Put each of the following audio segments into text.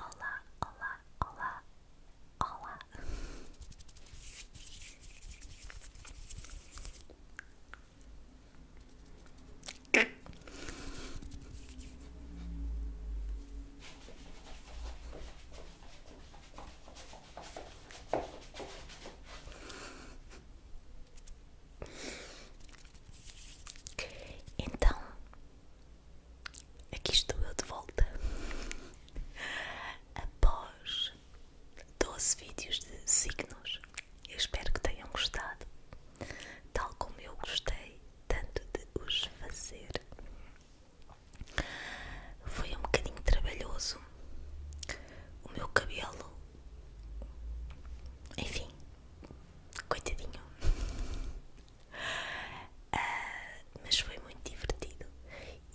Olá, olá, olá, olá, Então, Aqui estou eu de volta após 12 vídeos de signos. Eu espero que tenham gostado, tal como eu gostei tanto de os fazer. Foi um bocadinho trabalhoso. O meu cabelo, enfim, coitadinho, ah, mas foi muito divertido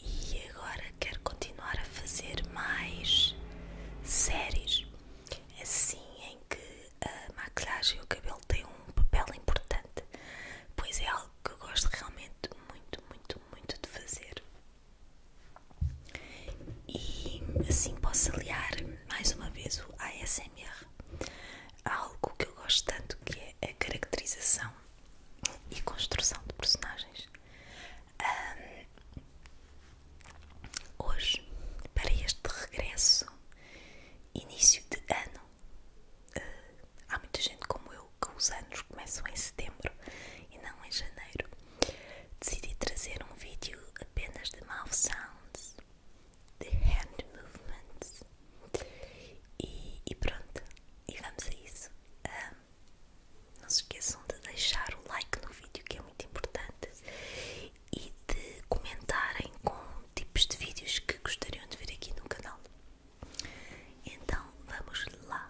e agora quero continuar a fazer mais séries assim em que a maquilhagem e o cabelo têm um papel importante, pois é algo que eu gosto realmente muito, muito, muito de fazer e assim posso aliar mais uma vez o ASMR há algo que eu gosto tanto que é a caracterização e construção de personagens. hoje, para este regresso, início de ano, eh, há muita gente como eu que os anos começam em setembro e não em janeiro. Decidi trazer um vídeo apenas de mouth sounds de hand movements. E, pronto, e vamos a isso. não se esqueçam de deixar o like no vídeo, que é muito importante, e de comentarem com tipos de vídeos que gostariam de ver aqui no canal. Então vamos lá.